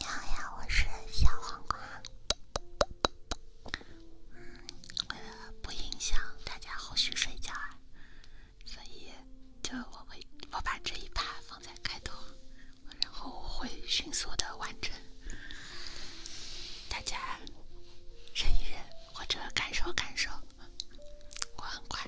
你好呀，我是小黄瓜。嗯，为了不影响大家后续睡觉，所以就我会我把这一趴放在开头，然后我会迅速的完成，大家忍一忍或者感受感受，我很快。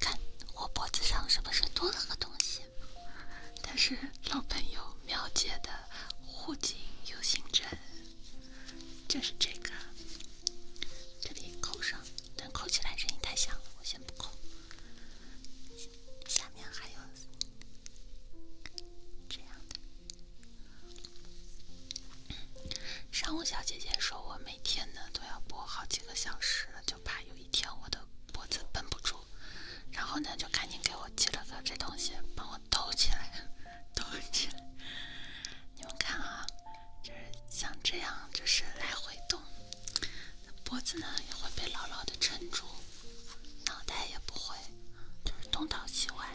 看，我脖子上是不是多了个东西？它是老朋友苗姐的护颈 U 型枕，就是这个。这里扣上，但扣起来声音太响了，我先不扣。下面还有这样的。上午小姐姐说我每天呢都要播好几个小时，就怕有一天我的脖子绷不住，然后呢就赶紧给我寄了个这东西帮我兜起来，兜起来。你们看啊。就是像这样，就是来回动，脖子呢也会被牢牢的撑住，脑袋也不会，就是东倒西歪。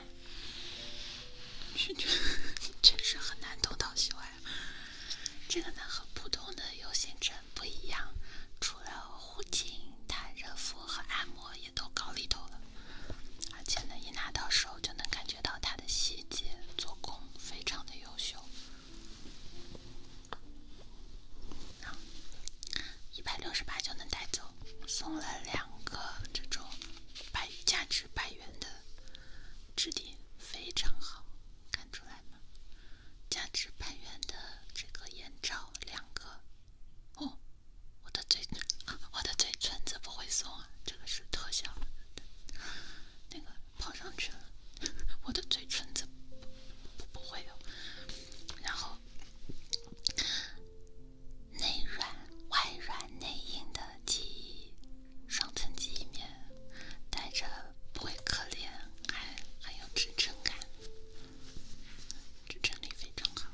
确实，很难东倒西歪。这个呢和普通的 U 型枕不一样，除了护颈，它热敷和按摩也都搞里头了。而且呢，一拿到手就能感觉到它的细节做工非常的优。优秀，然后一百六十八就能带走，送了两个这种百价值百元的，质地非常好，看出来吗？价值百元的这个眼罩两个，哦，我的嘴，我的嘴唇子不会松啊？这个是特效，那个。跑上去了，我的嘴唇子不不会有，然后内软外软内硬的记忆，双层记忆面，带着不会可怜，还很有支撑感，支撑力非常好。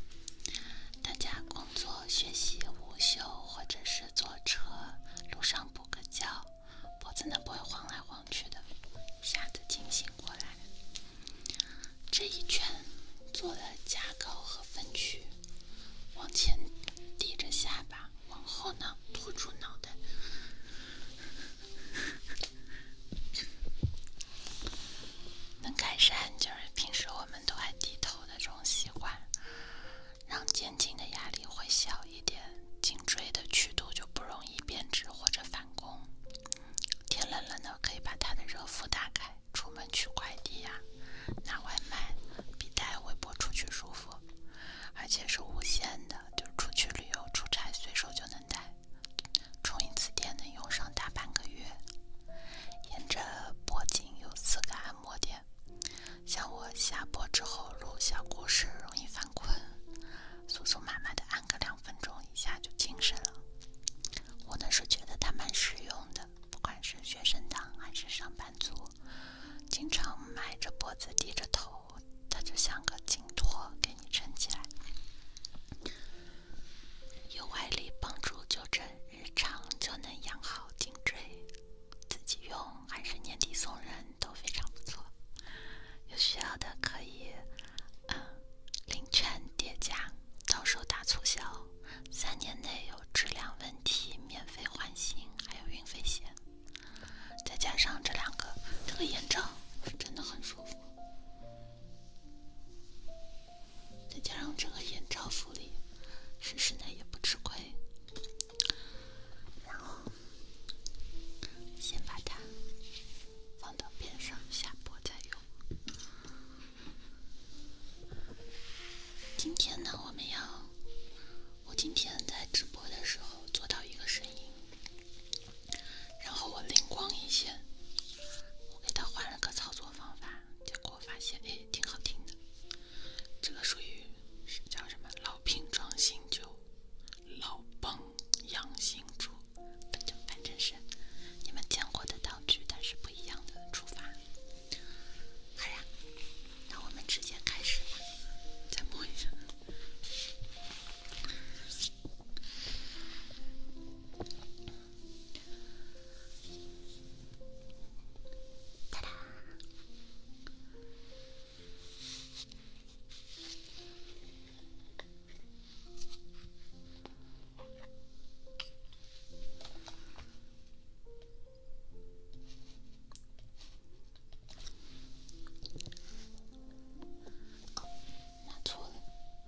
大家工作、学习、午休或者是坐车路上补个觉，脖子呢不会晃来晃去的，一下子清醒过来。这一圈做了架构和分区，往前低着下巴，往后呢托住脑袋，能改善就是平时我们都爱低头的这种习惯。让肩颈的压力会小一点，颈椎的曲度就不容易变直或者反弓。天冷了呢，可以把它的热敷打开。出门取快递呀，拿外卖，比带微波出去舒服，而且是无线的，就是出去旅游、出差，随手就能带，充一次电能用上大半个月。沿着脖颈有四个按摩点。像我下播之后录小故事容易犯困，苏苏妈妈的按个两分钟，一下就精神了。我呢是觉得它蛮实用的，不管是学生党还是上班族，经常埋着脖子低着头，它就像个颈托给你撑起来，有外力帮助纠正，日常就能养好颈椎。自己用还是年底送人都非常不错，有需要的可以，嗯，领券叠加，到时候打促销，三年内有质量问题免费换新，还有运费险，再加上这两个，这个眼罩是真的很舒服，再加上这个眼罩福利，试试呢也不吃亏。然后，先把它放到边上，下播再用。今天呢，我们要，我今天在直播的时候做到一个声音，然后我灵光一些，我给他换了个操作方法。结果发现，哎，挺好听的。这个属于叫什么“老瓶装新酒”，老帮养新主，反正反正是你们见过的道具，但是不一样的出发。好呀，那我们直接开始吧。再摸一下。拿出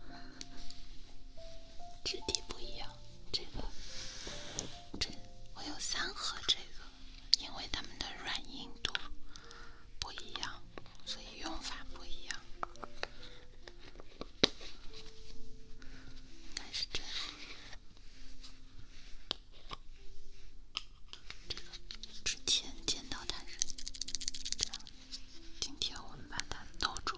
来，质地不一样。这个，这我有三盒这个，因为它们的软硬度不一样，所以用法不一样。应该是这样。这个之前见到它是这样，今天我们把它弄住。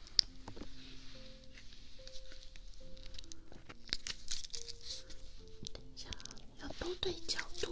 等一下，要多对角度。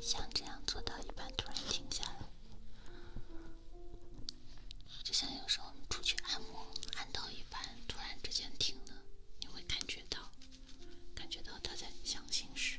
像这样做到一半突然停下来，就像有时候我们出去按摩，按到一半突然之间停了，你会感觉到，感觉到他在想心事。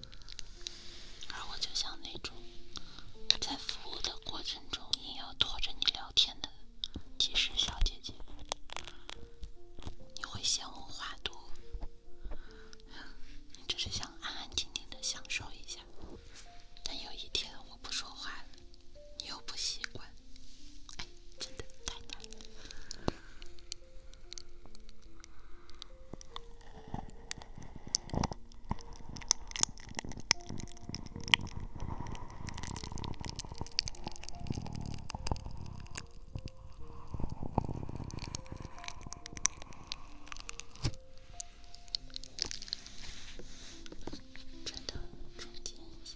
而我就像那种在服务的过程中硬要拖着你聊天的，技师小姐姐，你会嫌我话多，你只是想安安静静的享受一下。但有一天我不说话了，你又不习惯，哎，真的太难了。真的，总结一下。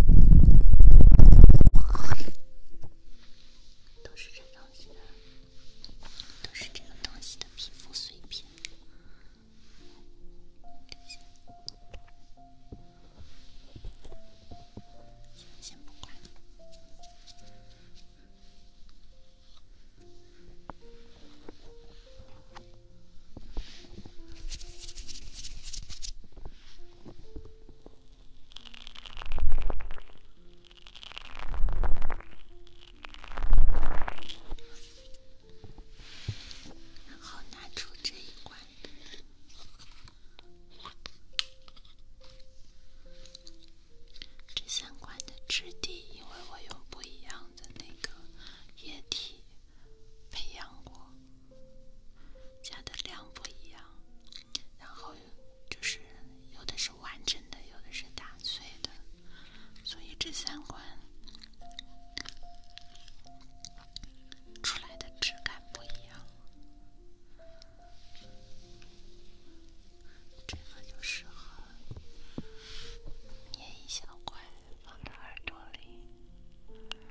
都是这东西的，都是这个东西的皮肤碎片。先先不。好拿出这一关的，这三关的质地，因为我用不一样的那个液体培养过。加的量不一样，然后就是有的是完整的，有的是打碎的，所以这三块出来的质感不一样。这个就适合捏一小块放耳朵里。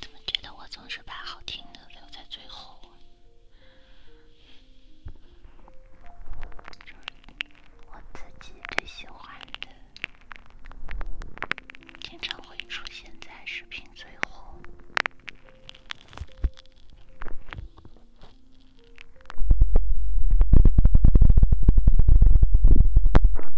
怎么觉得我总是把好听的留在最后？就是我自己最喜欢的，经常会出现在视频最后。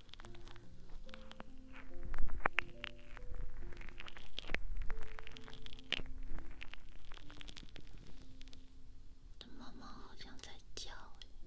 我的妈妈好像在叫哎。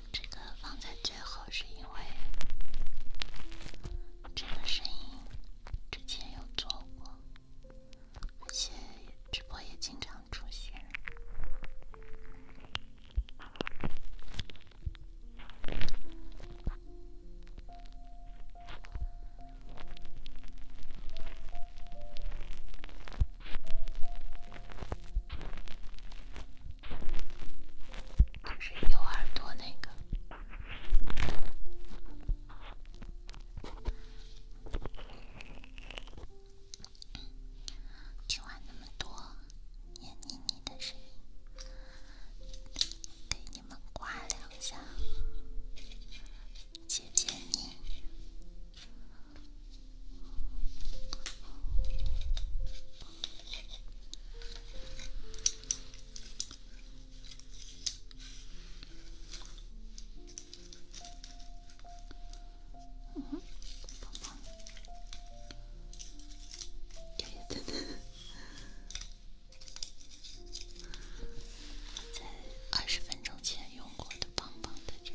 这个放在最后是因为，这个声音之前有做过，而且直播也经常出现。就是有耳朵那个，听完那么多黏腻腻的声音，给你们刮两下，姐姐你。棒棒，等等，在二十分钟前用过的棒棒的针。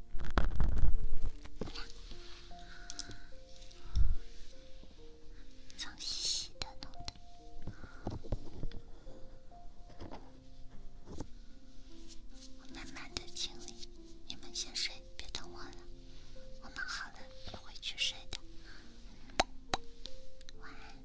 脏兮兮的，弄得我慢慢的清理，你们先睡，别等我了。我们好了，会去睡的。晚安。